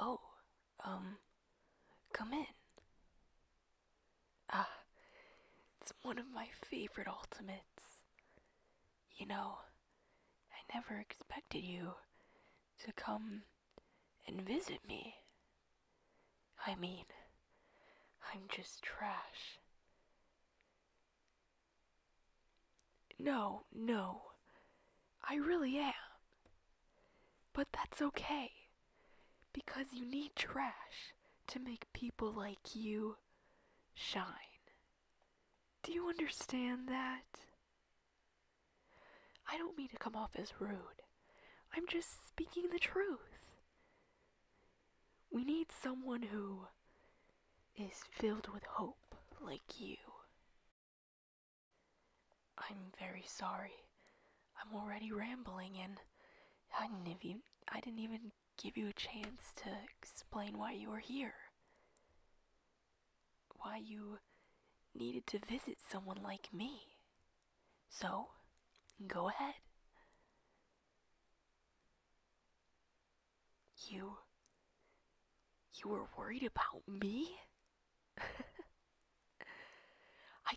Oh, um, come in. Ah, it's one of my favorite ultimates. You know, I never expected you to come and visit me. I mean, I'm just trash. No, no. I really am. But that's okay. Because you need trash to make people like you shine. Do you understand that? I don't mean to come off as rude. I'm just speaking the truth. We need someone who is filled with hope like you. I'm very sorry. I'm already rambling and I did I didn't even give you a chance to explain why you were here. Why you needed to visit someone like me. So, go ahead. You. You were worried about me? I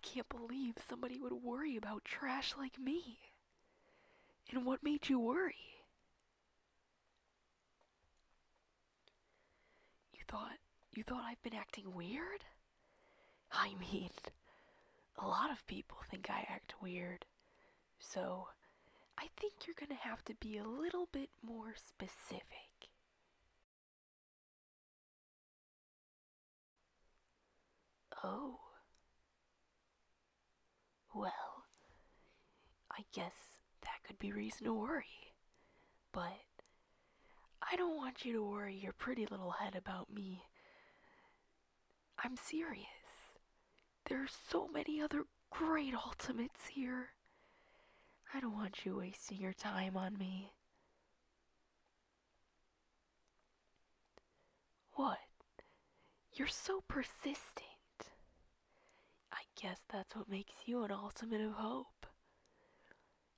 can't believe somebody would worry about trash like me. And what made you worry? You thought you thought I've been acting weird? I mean, a lot of people think I act weird, so I think you're going to have to be a little bit more specific. Oh. Well, I guess that could be reason to worry. But I don't want you to worry your pretty little head about me I'm serious. There are so many other great ultimates here. I don't want you wasting your time on me. What? You're so persistent. I guess that's what makes you an ultimate of hope.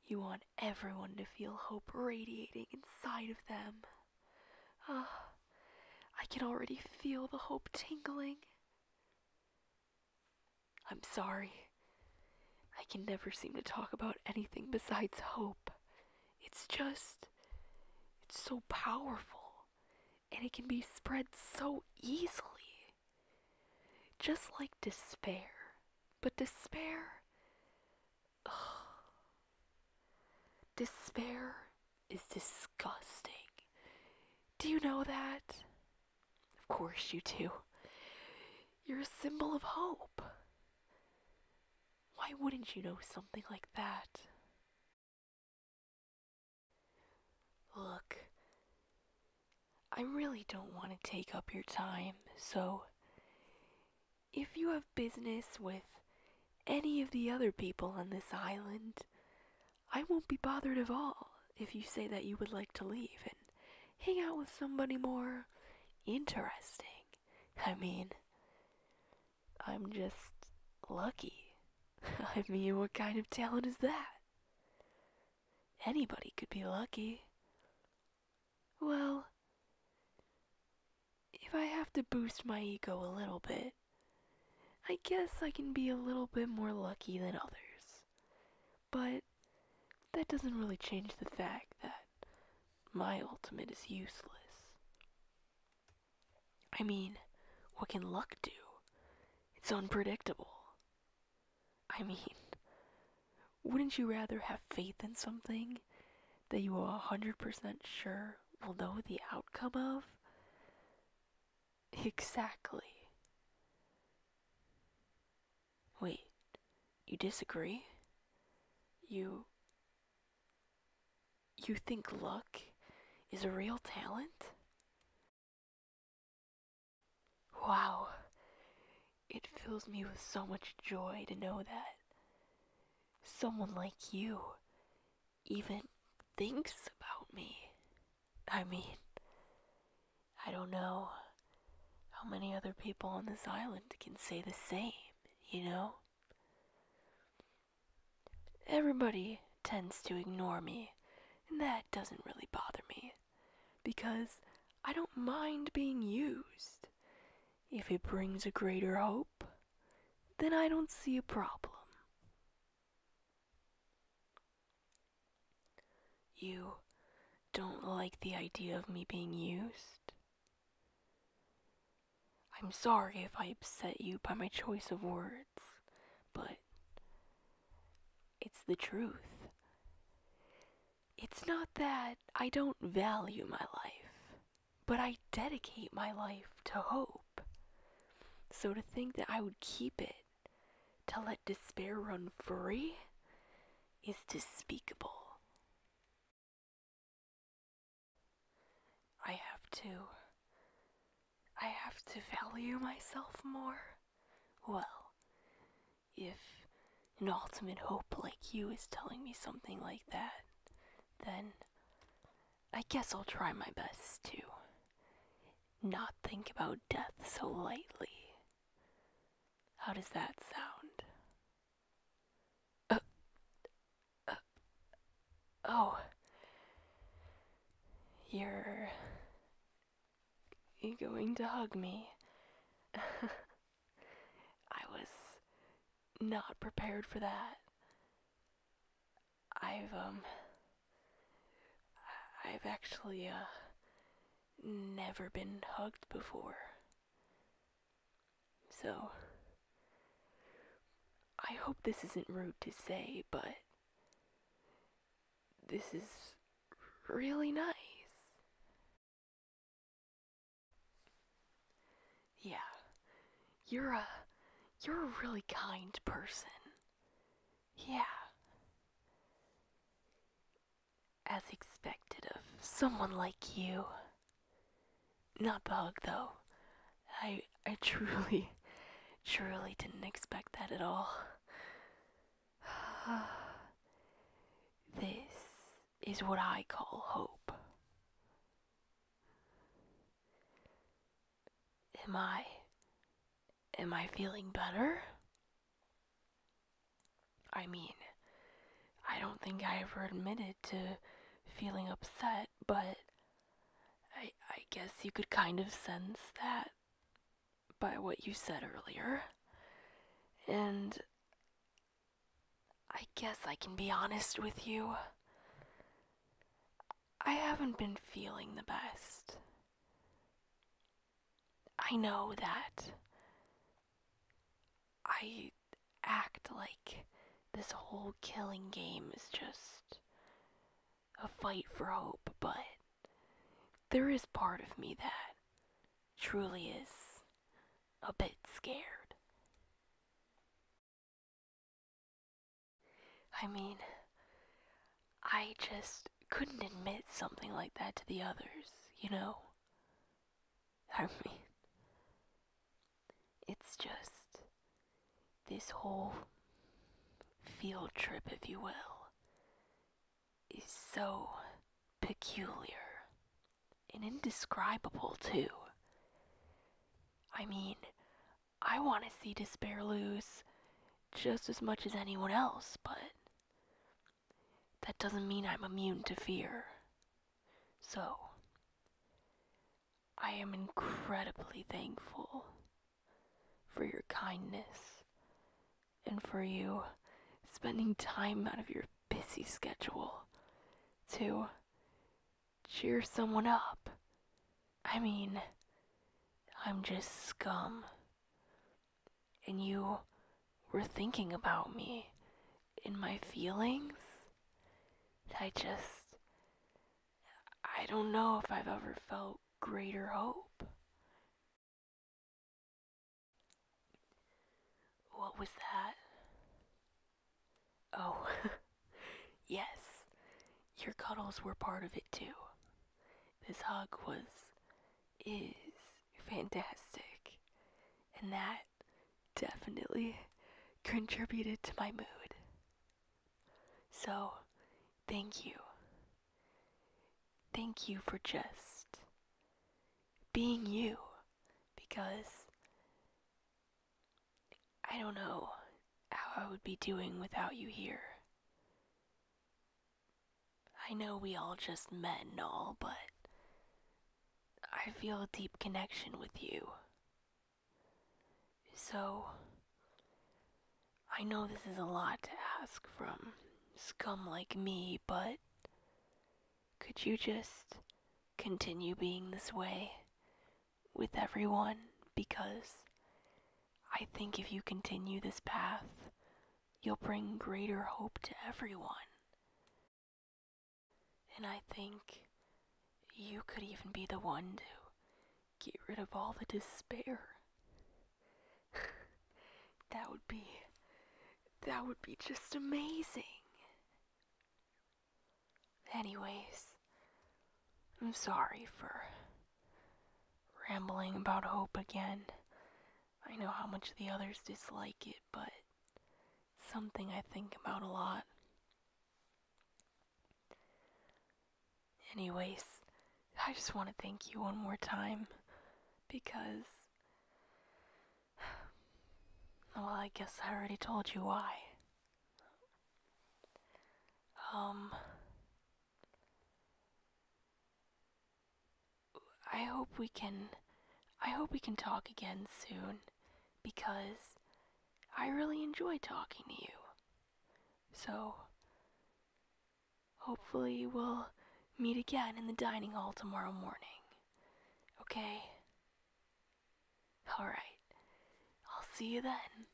You want everyone to feel hope radiating inside of them. Ah, I can already feel the hope tingling. I'm sorry. I can never seem to talk about anything besides hope. It's just. it's so powerful. And it can be spread so easily. Just like despair. But despair Despair is disgusting. Do you know that? Of course you do. You're a symbol of hope. Why wouldn't you know something like that? Look, I really don't want to take up your time, so if you have business with any of the other people on this island, I won't be bothered at all if you say that you would like to leave and hang out with somebody more interesting. I mean, I'm just lucky. I mean, what kind of talent is that? Anybody could be lucky. Well, if I have to boost my ego a little bit, I guess I can be a little bit more lucky than others. But that doesn't really change the fact that my ultimate is useless. I mean, what can luck do? It's unpredictable. I mean, wouldn't you rather have faith in something that you are 100% sure will know the outcome of? Exactly. Wait, you disagree? You. You think luck is a real talent? Wow. It fills me with so much joy to know that someone like you even thinks about me. I mean, I don't know how many other people on this island can say the same, you know? Everybody tends to ignore me, and that doesn't really bother me because I don't mind being used. If it brings a greater hope, then I don't see a problem. You don't like the idea of me being used? I'm sorry if I upset you by my choice of words, but it's the truth. It's not that I don't value my life, but I dedicate my life to hope. So to think that I would keep it, to let despair run free, is despicable. I have to. I have to value myself more. Well, if an ultimate hope like you is telling me something like that, then I guess I'll try my best to not think about death so lightly. How does that sound? Uh, uh, oh. You're you going to hug me? I was not prepared for that. I've, um, I've actually, uh, never been hugged before. So, I hope this isn't rude to say, but this is really nice. Yeah. You're a you're a really kind person. Yeah. As expected of someone like you. Not bug though. I I truly, truly didn't expect that at all. this is what I call hope. Am I. Am I feeling better? I mean, I don't think I ever admitted to feeling upset but I, I guess you could kind of sense that by what you said earlier. And I guess I can be honest with you. I haven't been feeling the best. I know that I act like this whole killing game is just a fight for hope, but there is part of me that truly is a bit scared. I mean, I just couldn't admit something like that to the others, you know? I mean, it's just this whole field trip, if you will, is so peculiar and indescribable, too. I mean, I want to see Despair lose just as much as anyone else, but that doesn't mean I'm immune to fear. So, I am incredibly thankful for your kindness and for you spending time out of your busy schedule to cheer someone up. I mean, I'm just scum. And you were thinking about me in my feelings. I just I don't know if I've ever felt greater hope. What was that? Oh, yes, your cuddles were part of it too. This hug was, is fantastic. And that definitely contributed to my mood. So, thank you. Thank you for just being you because I don't know how I would be doing without you here. I know we all just met and all, but I feel a deep connection with you. So, I know this is a lot to ask from scum like me, but could you just continue being this way with everyone? Because I think if you continue this path, you'll bring greater hope to everyone. And I think you could even be the one to get rid of all the despair. that would be. That would be just amazing. Anyways, I'm sorry for rambling about hope again. I know how much the others dislike it, but something I think about a lot. Anyways, I just want to thank you one more time because. Well, I guess I already told you why. Um. I hope we can. I hope we can talk again soon because I really enjoy talking to you. So, hopefully, we'll meet again in the dining hall tomorrow morning. Okay? Alright. I'll see you then.